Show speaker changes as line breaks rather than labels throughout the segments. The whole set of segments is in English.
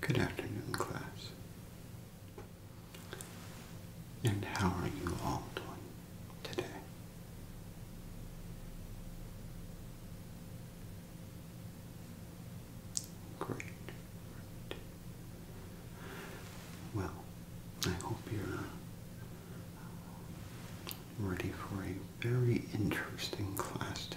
Good afternoon, class. And how are you all doing today? Great. Well, I hope you're uh, ready for very interesting class today.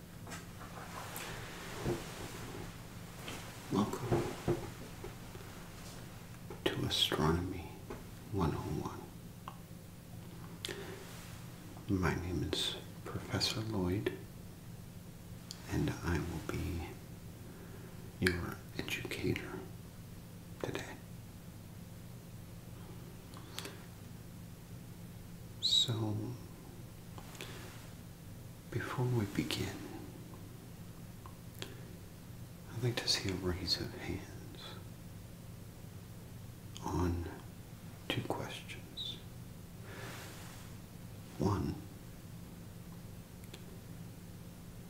Welcome to Astronomy 101. My name is Professor Lloyd, and I will be your educator today. So, before we begin, I'd like to see a raise of hands on two questions. One,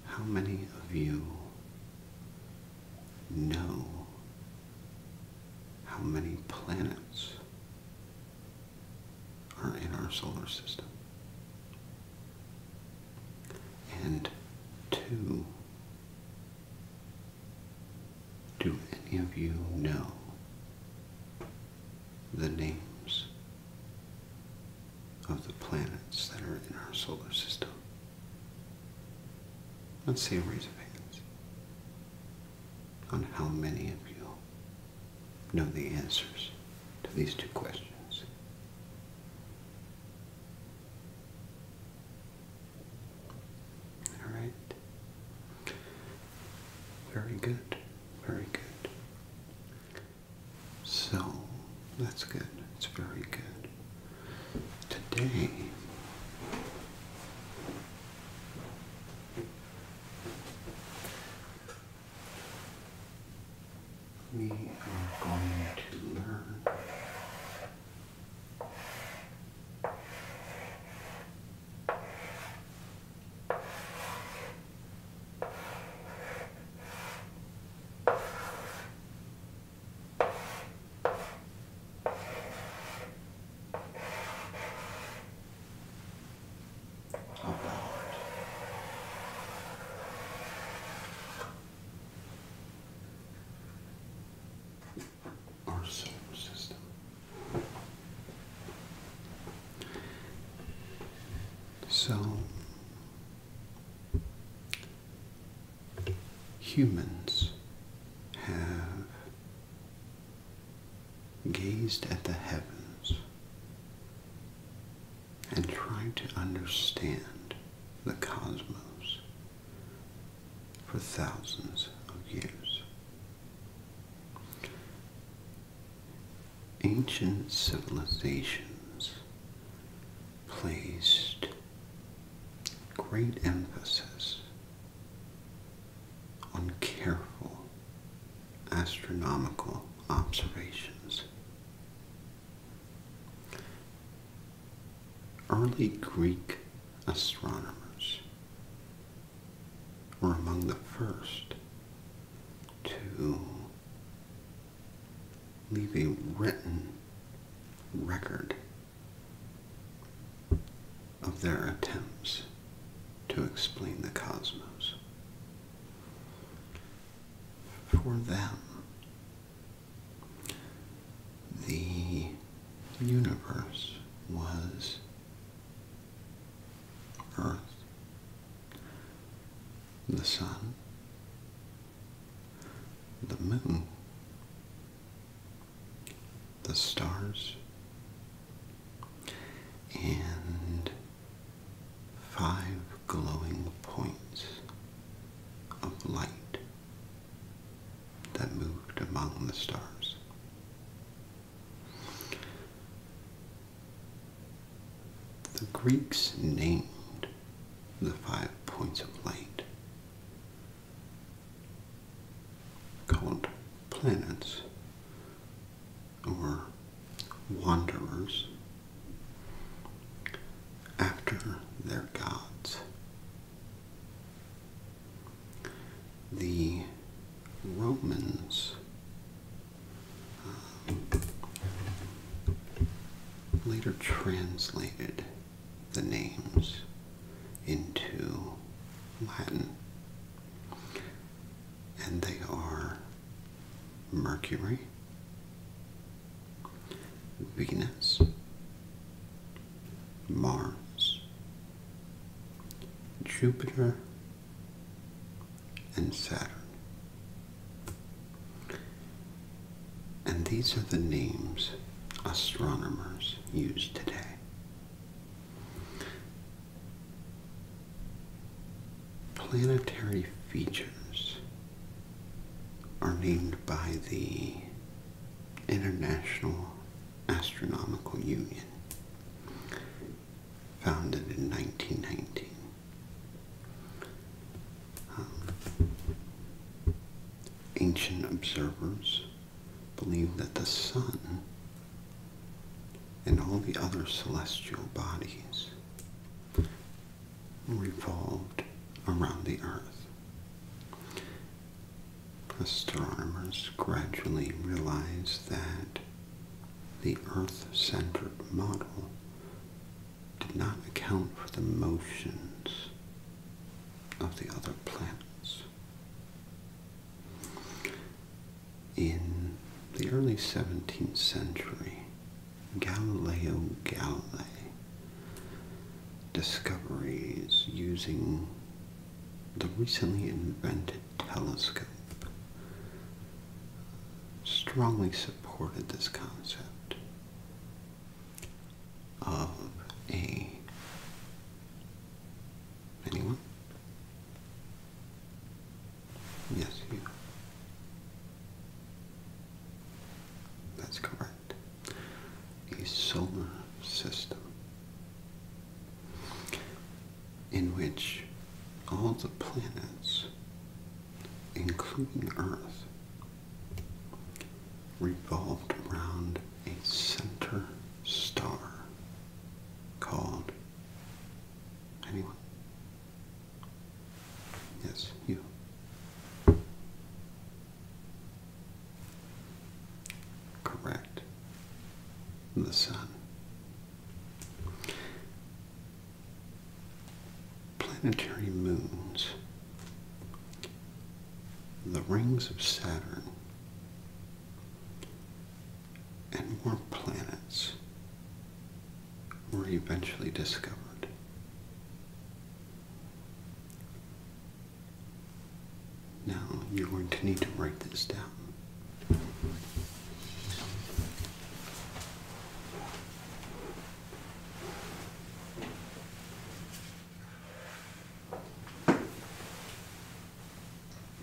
how many of you know how many planets are in our solar system. And two, do any of you know the names of the planets that are in our solar system? Let's see a raise of hands on how many of you know the answers to these two questions. All right. Very good. Very good. So, that's good. It's very good. Today, we are going to learn abound. Our solar system. So, humans have gazed at the heavens and tried to understand the cosmos for thousands of years. Ancient civilizations placed great emphasis on careful astronomical observations. Early Greek astronomers were among the first to leave a written record of their attempts to explain the cosmos for them. The universe was Earth, the Sun, the Moon, the stars, and five glowing points of light that moved among the stars. The Greeks named the five points of light called planets or wanderers after their gods. The Romans um, later translated the names into Latin and they are Mercury, Venus, Mars, Jupiter, and Saturn. And these are the names astronomers use today. Planetary features are named by the International Astronomical Union, founded in 1919. Um, ancient observers believed that the sun and all the other celestial bodies revolved around the Earth. Astronomers gradually realized that the Earth-centered model did not account for the motions of the other planets in the early 17th century, Galileo Galilei discoveries using the recently invented telescope strongly supported this concept of a anyone Yes, you. That's correct. A solar system in which all the planets, including Earth, revolved around a center star called Anyone? Yes, you. Correct. The sun. Planetary moons. The rings of Saturn and more planets were eventually discovered. Now you're going to need to write this down.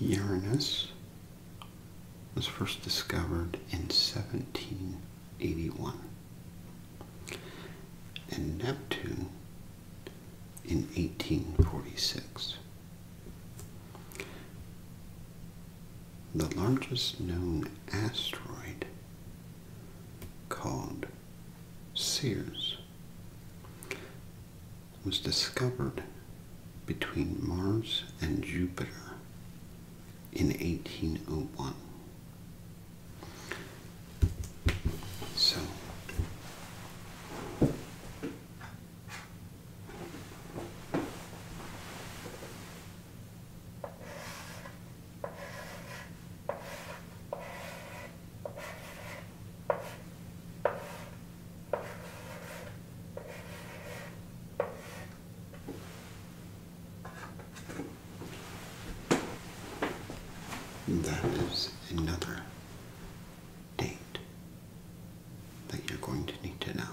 Uranus was first discovered in 1781 and Neptune in 1846. The largest known asteroid, called Sears, was discovered between Mars and Jupiter in 1801. So, that is another date that you're going to need to know.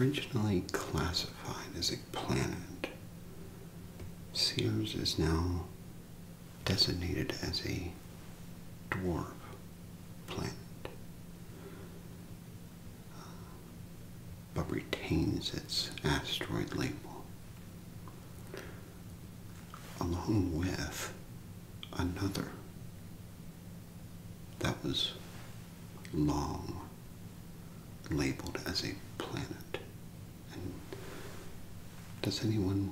Originally classified as a planet, Sears is now designated as a dwarf planet, uh, but retains its asteroid label, along with another that was long labeled as a planet. And does anyone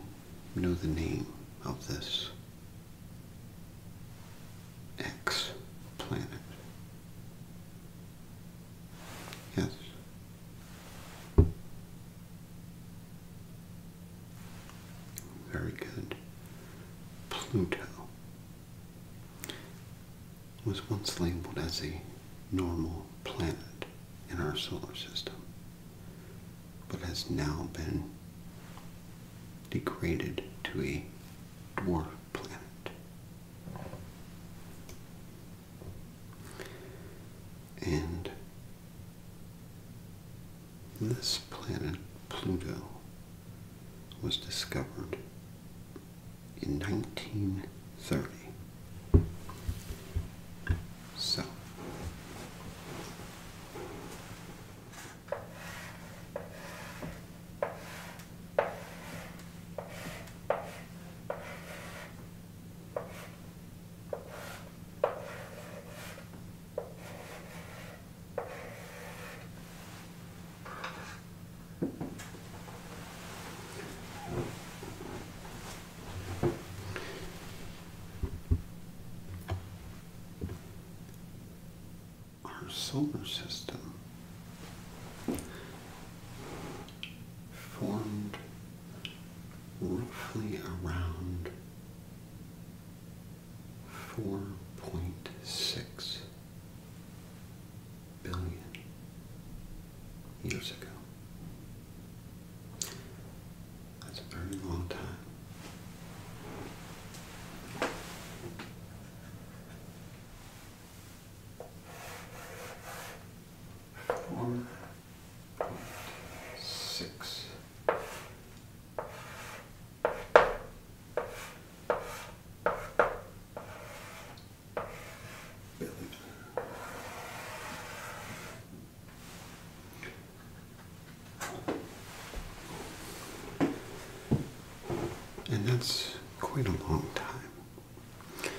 know the name of this X planet? Yes. Very good. Pluto was once labeled as a normal planet in our solar system, but has now been degraded to a dwarf planet. And this planet, Pluto, was discovered in 1930. So, our solar system formed roughly around 4.6 billion years ago. That's a very long time. One point six and that's quite a long time.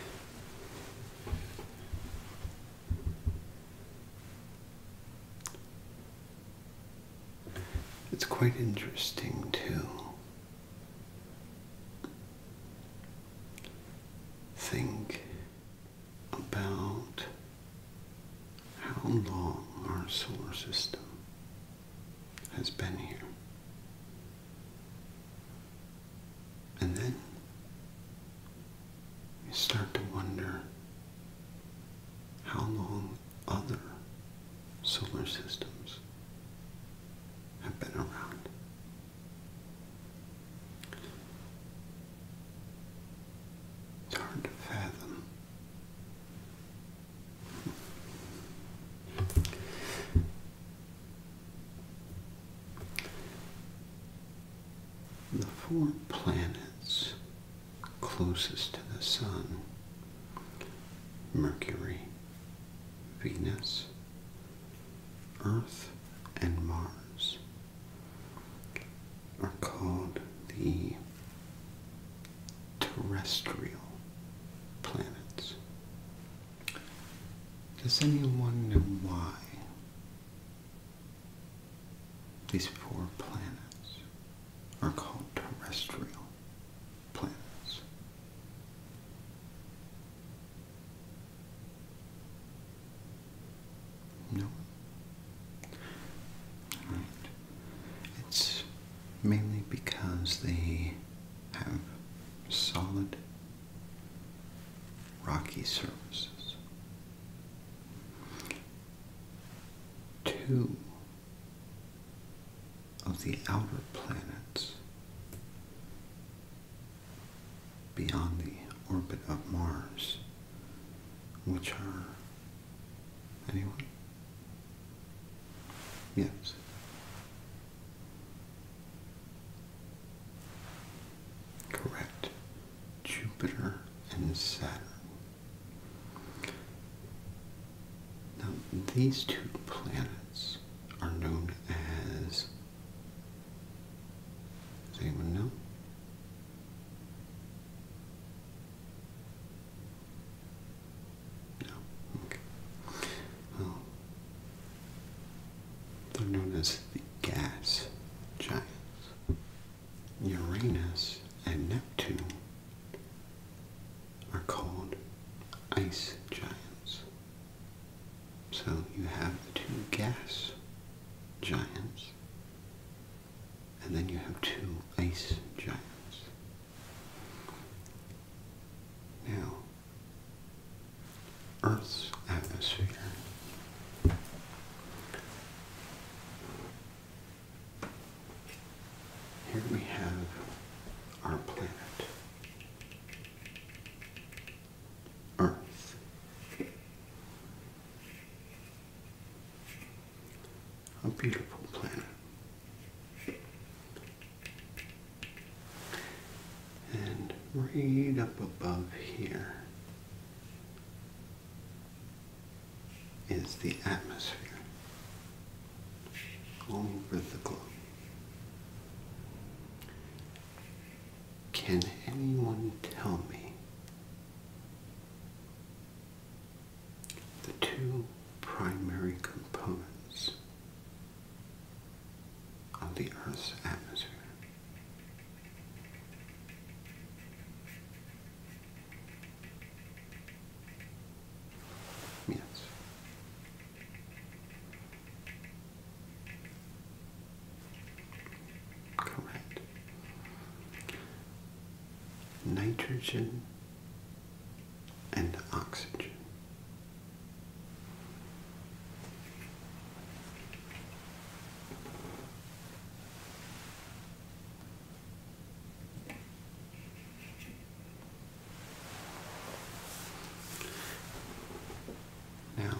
It's quite interesting, too. Think about how long our solar system has been here. And then you start to wonder how long other solar systems have been around. It's hard to fathom. The four planets closest to the Sun Mercury, Venus, Earth and Mars are called the terrestrial planets. Does anyone know why these four planets are called terrestrial planets? No. Alright. It's mainly because they have solid rocky surfaces. Two of the outer planets beyond the orbit of Mars, which are. anyone? Yes. Correct. Jupiter and Saturn. Now, these two planets are known as. Does anyone know? No. Okay. Well, they're known as the gas giants. Uranus and Neptune are called ice giants. So you have the two gas giants, and then you have two ice giants. Now, Earth's atmosphere here we have our planet earth. A beautiful planet. And right up above here is the atmosphere over the globe. Can anyone tell me the two primary components of the Earth's atmosphere? Yes. Correct. Nitrogen and oxygen. Now,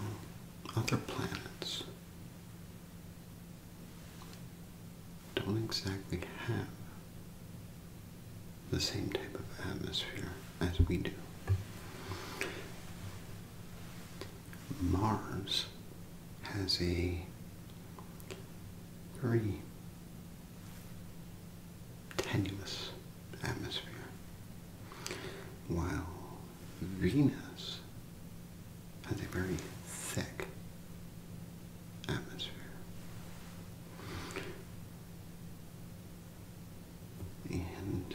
other planets don't exactly have the same type of atmosphere as we do. Mars has a very tenuous atmosphere. While Venus has a very thick atmosphere. And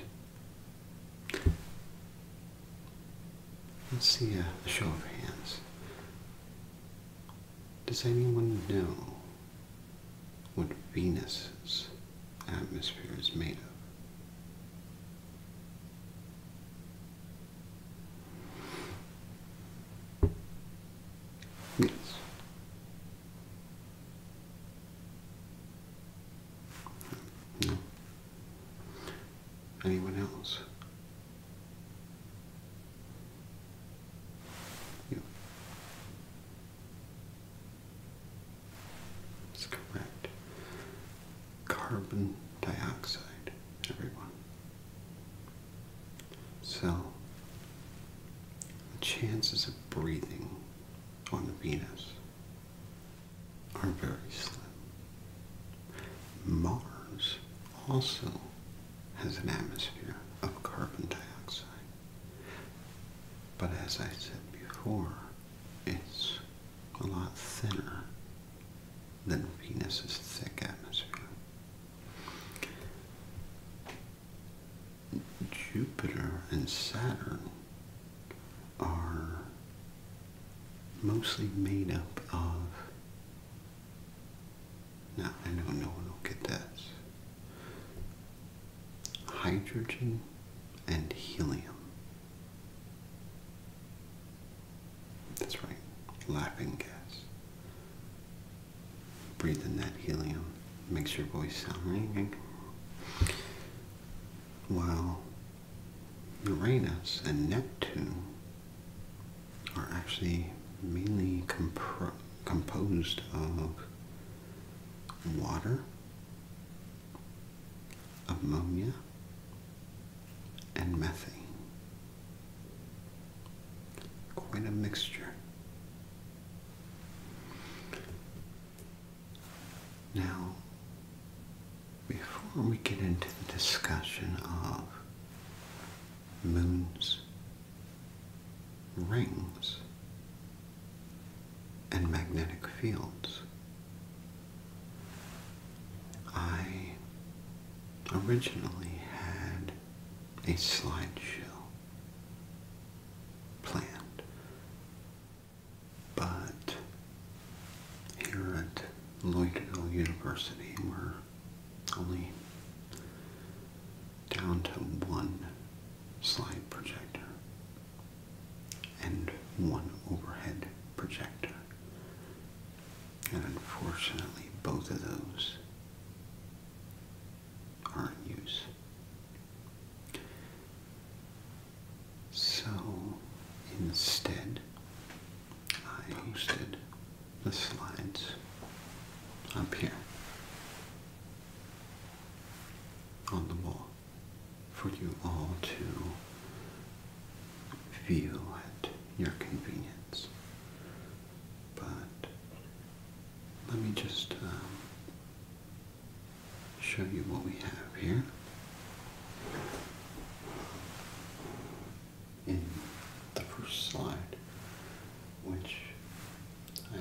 let's see a, a show of hands. Does anyone know what Venus's atmosphere is made of. Yes. No. Anyone else? You. That's correct. Carbon dioxide, everyone. So, the chances of breathing on Venus are very slim. Mars also has an atmosphere of carbon dioxide. But as I said before, it's a lot thinner than Venus's thick atmosphere. Jupiter and Saturn are mostly made up of. Now, I know no will get this, hydrogen and helium. That's right, laughing gas. Breathing that helium, makes your voice sound ringing. While Uranus and Neptune are actually mainly composed of water, ammonia, and methane. Quite a mixture. Now, before we get into the discussion of moons, rings, and magnetic fields. I originally had a slideshow planned, but here at Loyola University we're only down to one slide projector and one overhead projector. And unfortunately, both of those are in use. So instead, I posted the slides up here on the wall for you all to feel at your convenience. But let me just um, show you what we have here. In the first slide, which I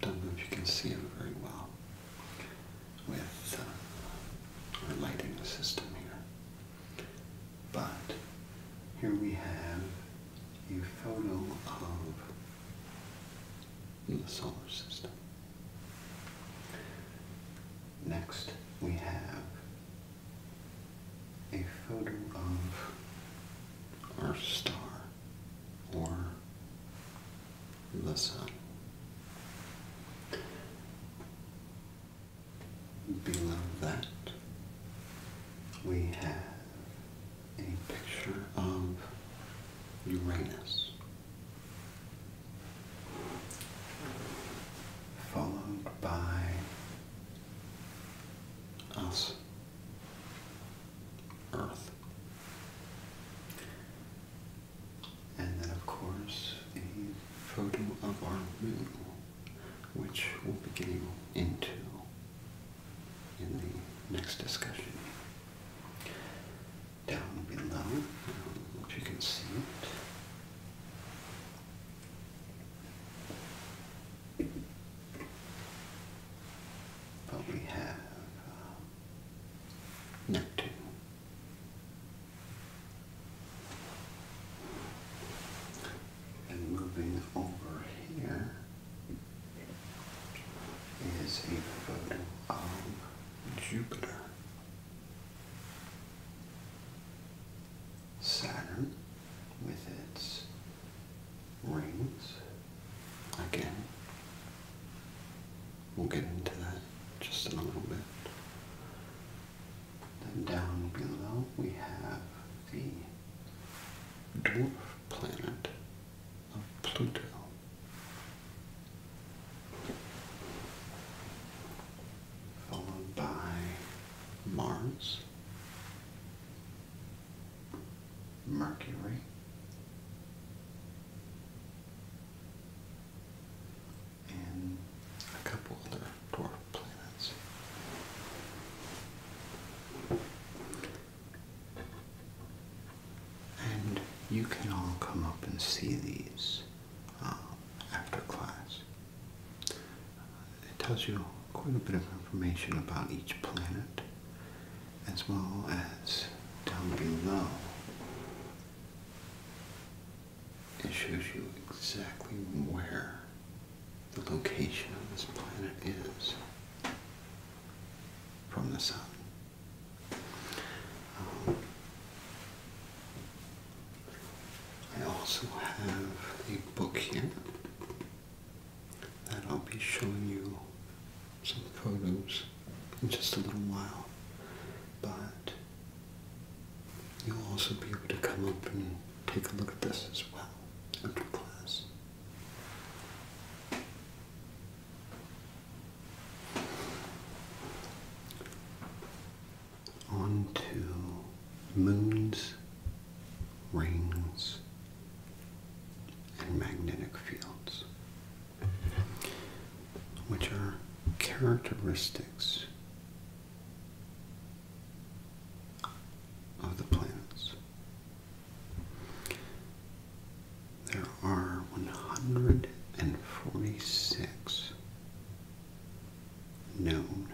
don't know if you can see it very well with uh, our lighting system here. But here we have a photo of the solar system. Next, we have a photo of our star, or listen. Below that, we have a picture of Uranus, followed by us, Earth. And then, of course, the photo of our moon, which we'll be getting into in the next discussion. Down below, um, if you can see it but we have uh, Neptune. And moving over here is a photo of Jupiter, Saturn with its rings. Again, we'll get into that just in a little bit. Then down below we have the dwarf planet of Pluto. Followed by Mars, Mercury. And a couple other dwarf planets. And you can all come up and see these um, after class. It tells you quite a bit of information about each planet as well as down below. It shows you exactly where the location of this planet is from the sun. Um, I also have a book here that I'll be showing you some kodos in just a little while. But you'll also be able to come up and take a look at this as well after class. On to moons, rings, and magnetic fields, which are characteristics of the planets. There are 146 known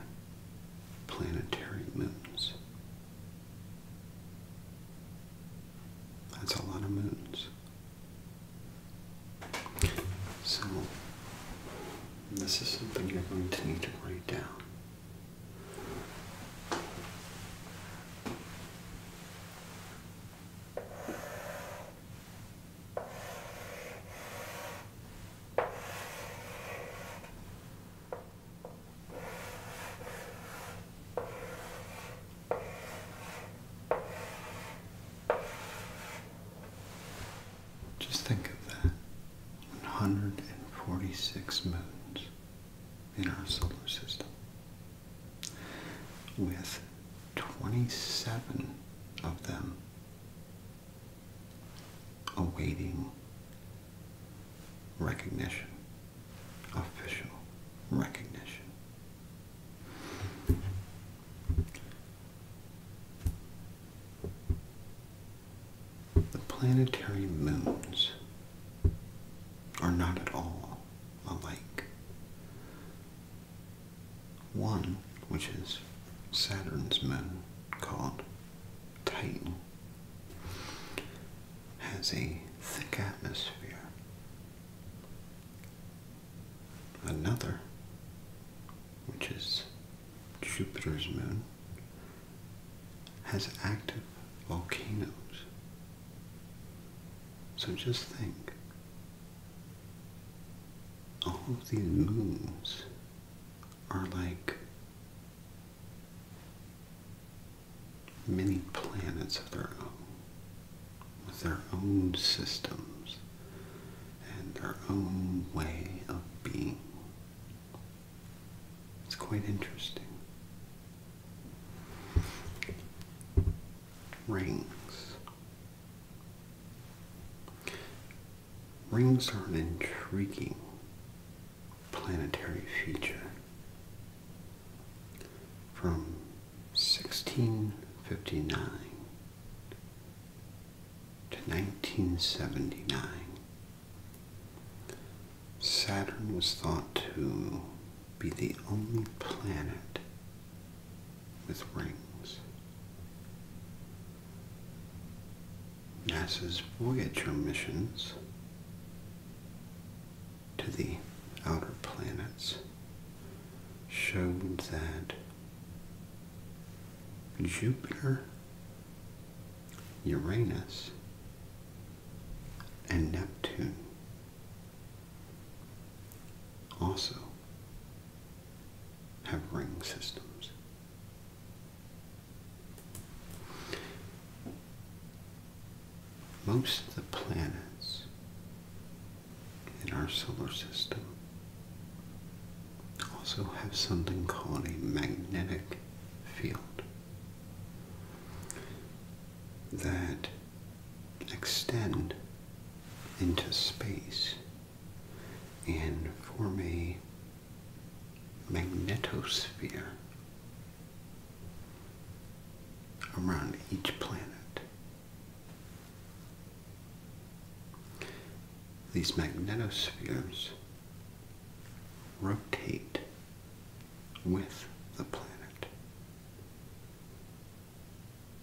planetary moons. That's a lot of moons. So, this is something you're going to need to write down. Just think of that 146 moons in our solar system, with 27 of them awaiting recognition official recognition. The planetary moons are not at all alike. One, which is Saturn's moon, called Titan, has a thick atmosphere. Another, which is Jupiter's moon, has active volcanoes. So just think, all of these moons are like many planets of their own, with their own systems and their own way of being. It's quite interesting. Rings. Rings are an intriguing planetary feature from 1659 to 1979, Saturn was thought to be the only planet with rings. NASA's Voyager missions to the outer planets showed that Jupiter, Uranus, and Neptune also have ring systems most of the planets in our solar system also have something called a magnetic field that extend into space and form a magnetosphere around each planet. These magnetospheres rotate with the planet,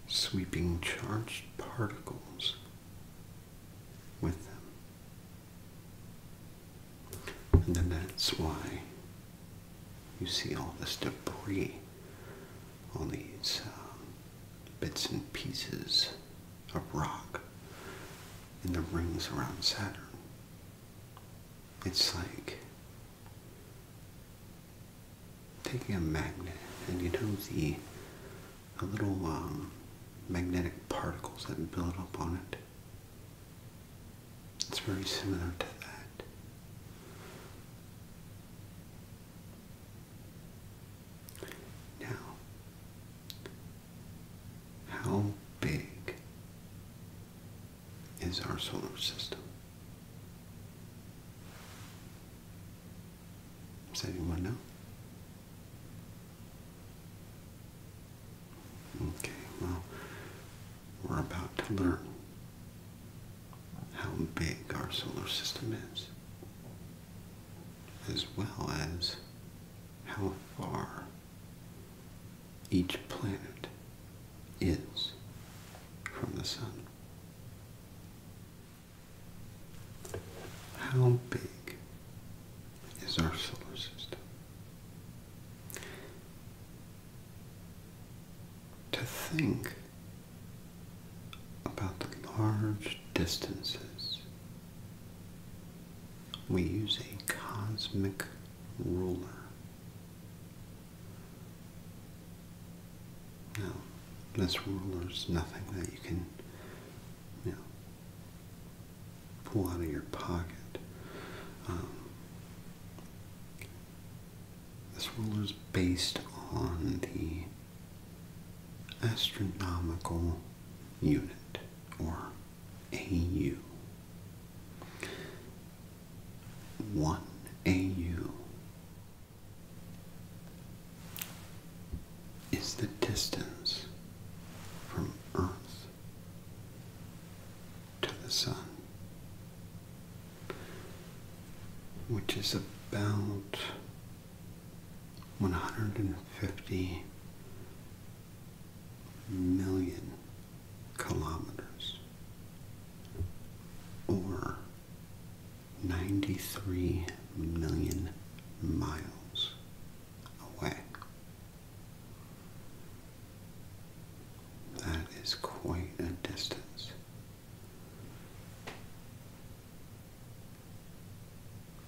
sweeping charged particles with them. And then that's why you see all this debris, all these um, bits and pieces of rock in the rings around Saturn. It's like taking a magnet and you know the, little um, magnetic particles that build up on it. It's very similar to that. Now, how big is our solar system? Does anyone know? Okay, well, we're about to learn how big our solar system is, as well as how far each planet is from the sun. How big is our solar system? to think about the large distances we use a cosmic ruler. Now, this ruler is nothing that you can, you know, pull out of your pocket. Um, this rule is based on the astronomical unit, or AU. One AU is the distance from Earth to the sun, which is about 150 million kilometers or 93 million miles away. That is quite a distance.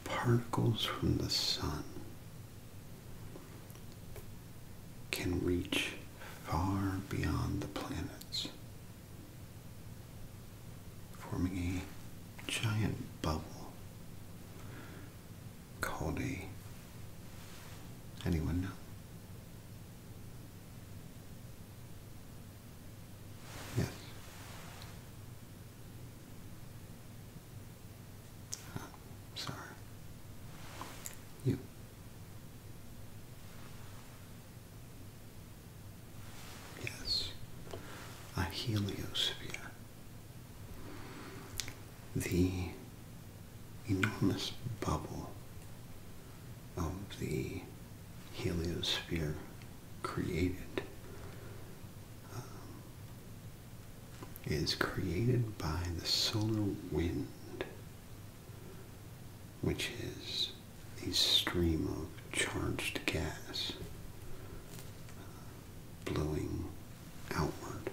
Particles from the sun can reach far beyond the planets, forming a giant bubble called a. Anyone know? Yes. sorry. You. Yes. A heliosphere the enormous bubble of the heliosphere created um, is created by the solar wind, which is a stream of charged gas uh, blowing outward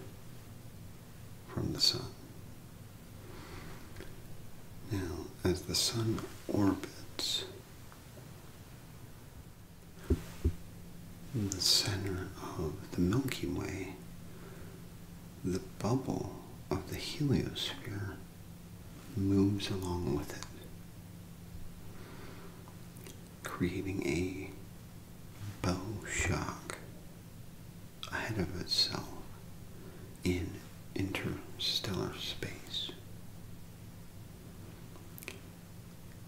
from the sun. Now, as the sun orbits, the center of the Milky Way, the bubble of the heliosphere moves along with it, creating a bow shock ahead of itself in interstellar space.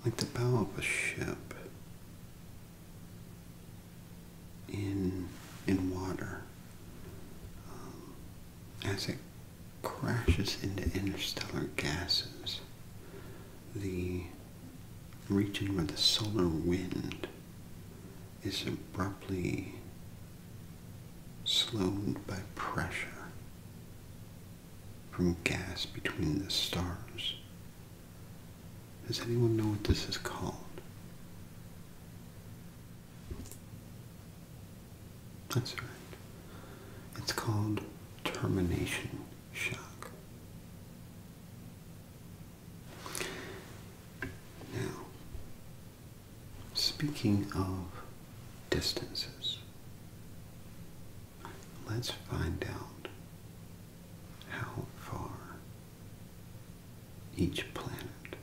Like the bow of a ship in in water, um, as it crashes into interstellar gases, the region where the solar wind is abruptly slowed by pressure from gas between the stars. Does anyone know what this is called? That's right. It's called termination shock. Now, speaking of distances, let's find out how far each planet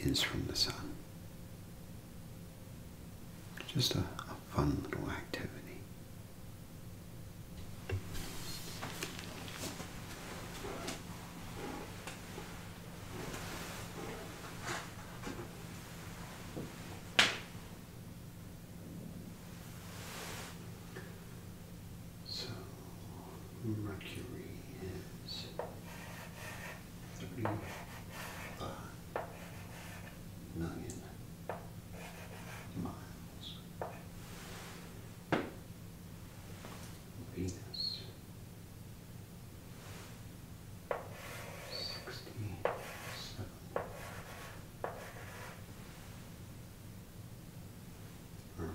is from the sun. Just a, fun little activity. So Mercury is thirty five million miles. Venus. Sixty-seven. Earth.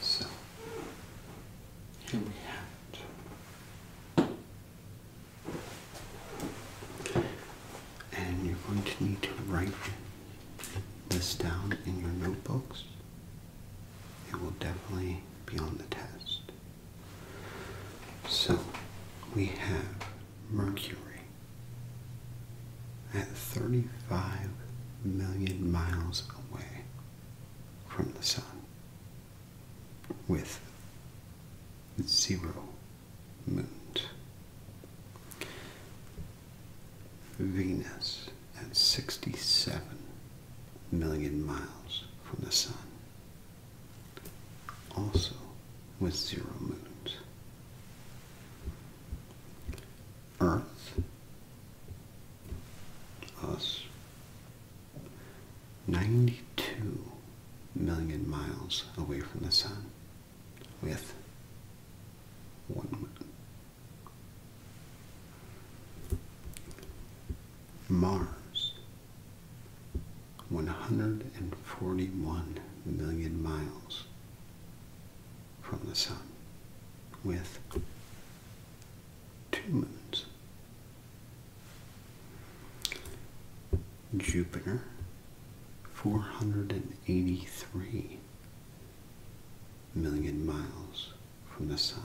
So here we have it. And you're going to need to write this down in your notebooks it will definitely be on the test. So we have Mercury at 35 million miles away from the Sun with zero moons. Venus at 67 million miles from the sun, also with zero moons. Earth, us, 92 million miles away from the sun with one moon. Mars, 141 million miles from the Sun, with two moons. Jupiter, 483 million miles from the Sun,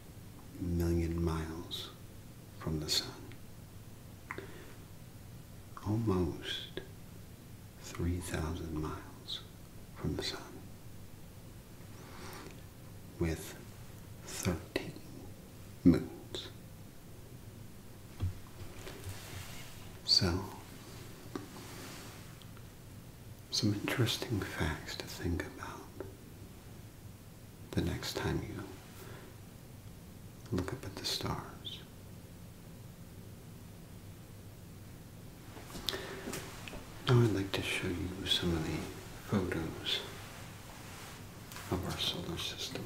million miles from the sun. Almost 3,000 miles from the sun. With 13 moons. So, some interesting facts to think about the next time you look up at the stars. Now I'd like to show you some of the photos of our solar system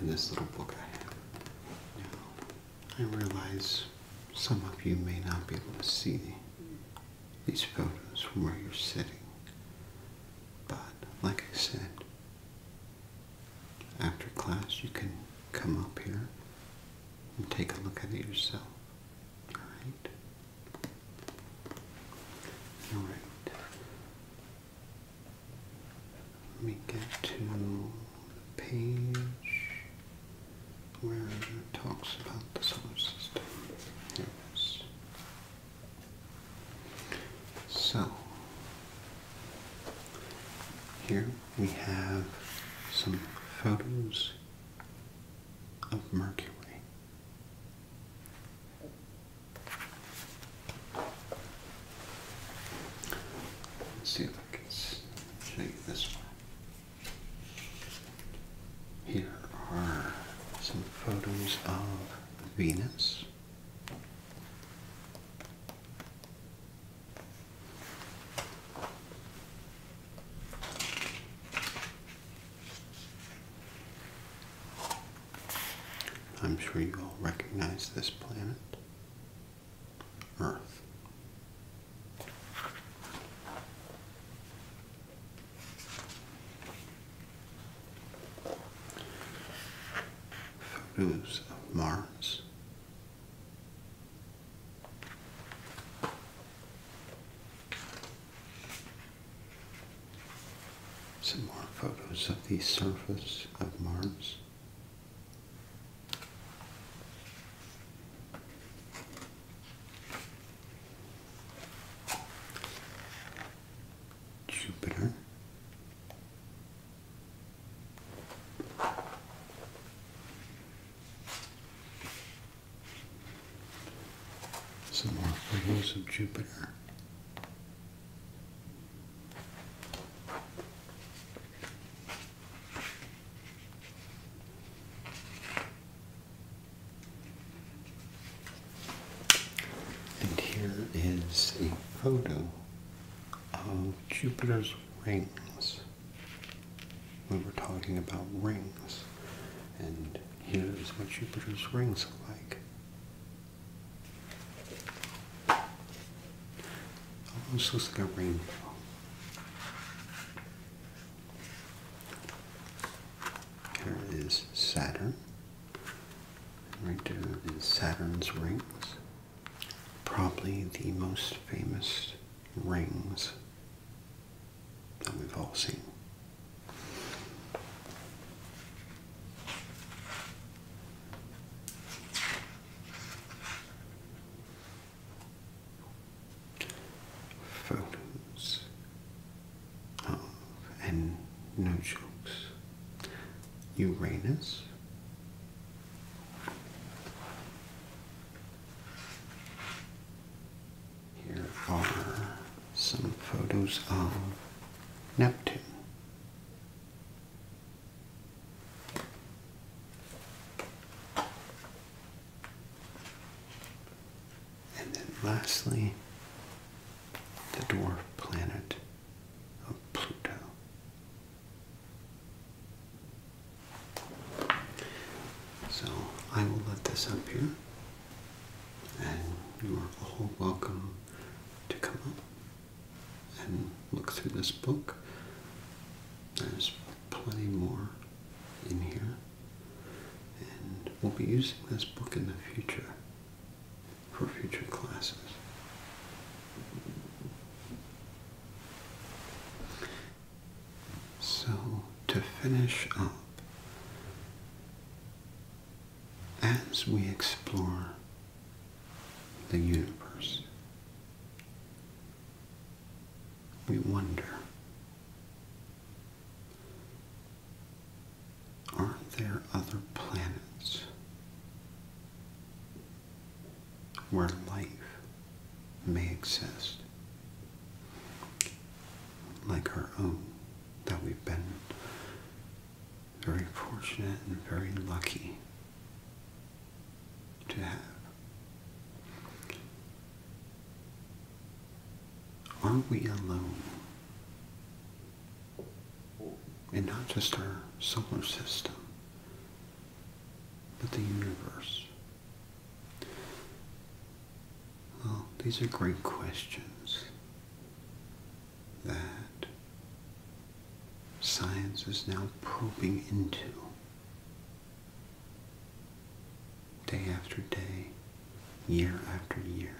in this little book I have. Now, I realize some of you may not be able to see these photos from where you're sitting. But, like I said, after class you can come up here and take a look at it yourself. Alright? Alright. Let me get to page where it talks about the solar system. Here it is. So, here we have some photos of Mercury. Let's see if I can take this one. Here are some photos of Venus. I'm sure you all recognize this planet, Earth. Photos of Mars. Some more photos of the surface of Mars. Jupiter. Some more photos of Jupiter. And here is a photo of Jupiter's rings. We were talking about rings, and here's what Jupiter's rings look like. Almost looks like a rainbow. Here is Saturn. Right there is Saturn's rings. Probably the most famous rings that we've all seen photos of, and no jokes, Uranus. Here are some photos of Neptune. And then lastly, the dwarf planet of Pluto. So I will let this up here, and you are all welcome to come up and look through this book. There's plenty more in here. And we'll be using this book in the future for future classes. So, to finish up, as we explore the universe, we wonder Aren't there other planets where life may exist like our own that we've been very fortunate and very lucky to have? Are we alone? And not just our solar system, but the universe. Well, these are great questions that science is now probing into day after day, year after year,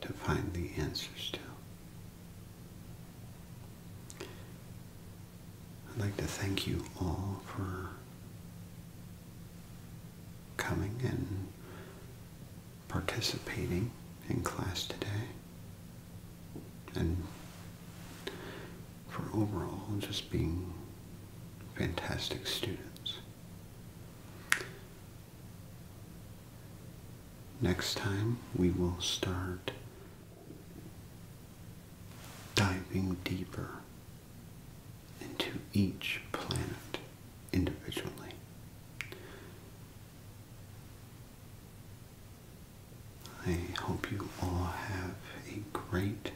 to find the answers to. I'd like to thank you all for coming and participating in class today and for overall just being fantastic students. Next time we will start diving deeper into each planet individually. I hope you all have a great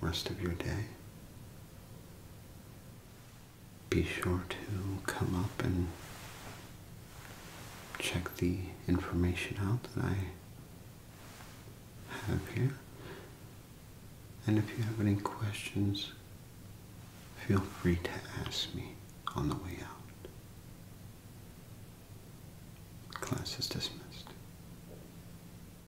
rest of your day be sure to come up and check the information out that I have here. And if you have any questions, feel free to ask me on the way out. Class is dismissed.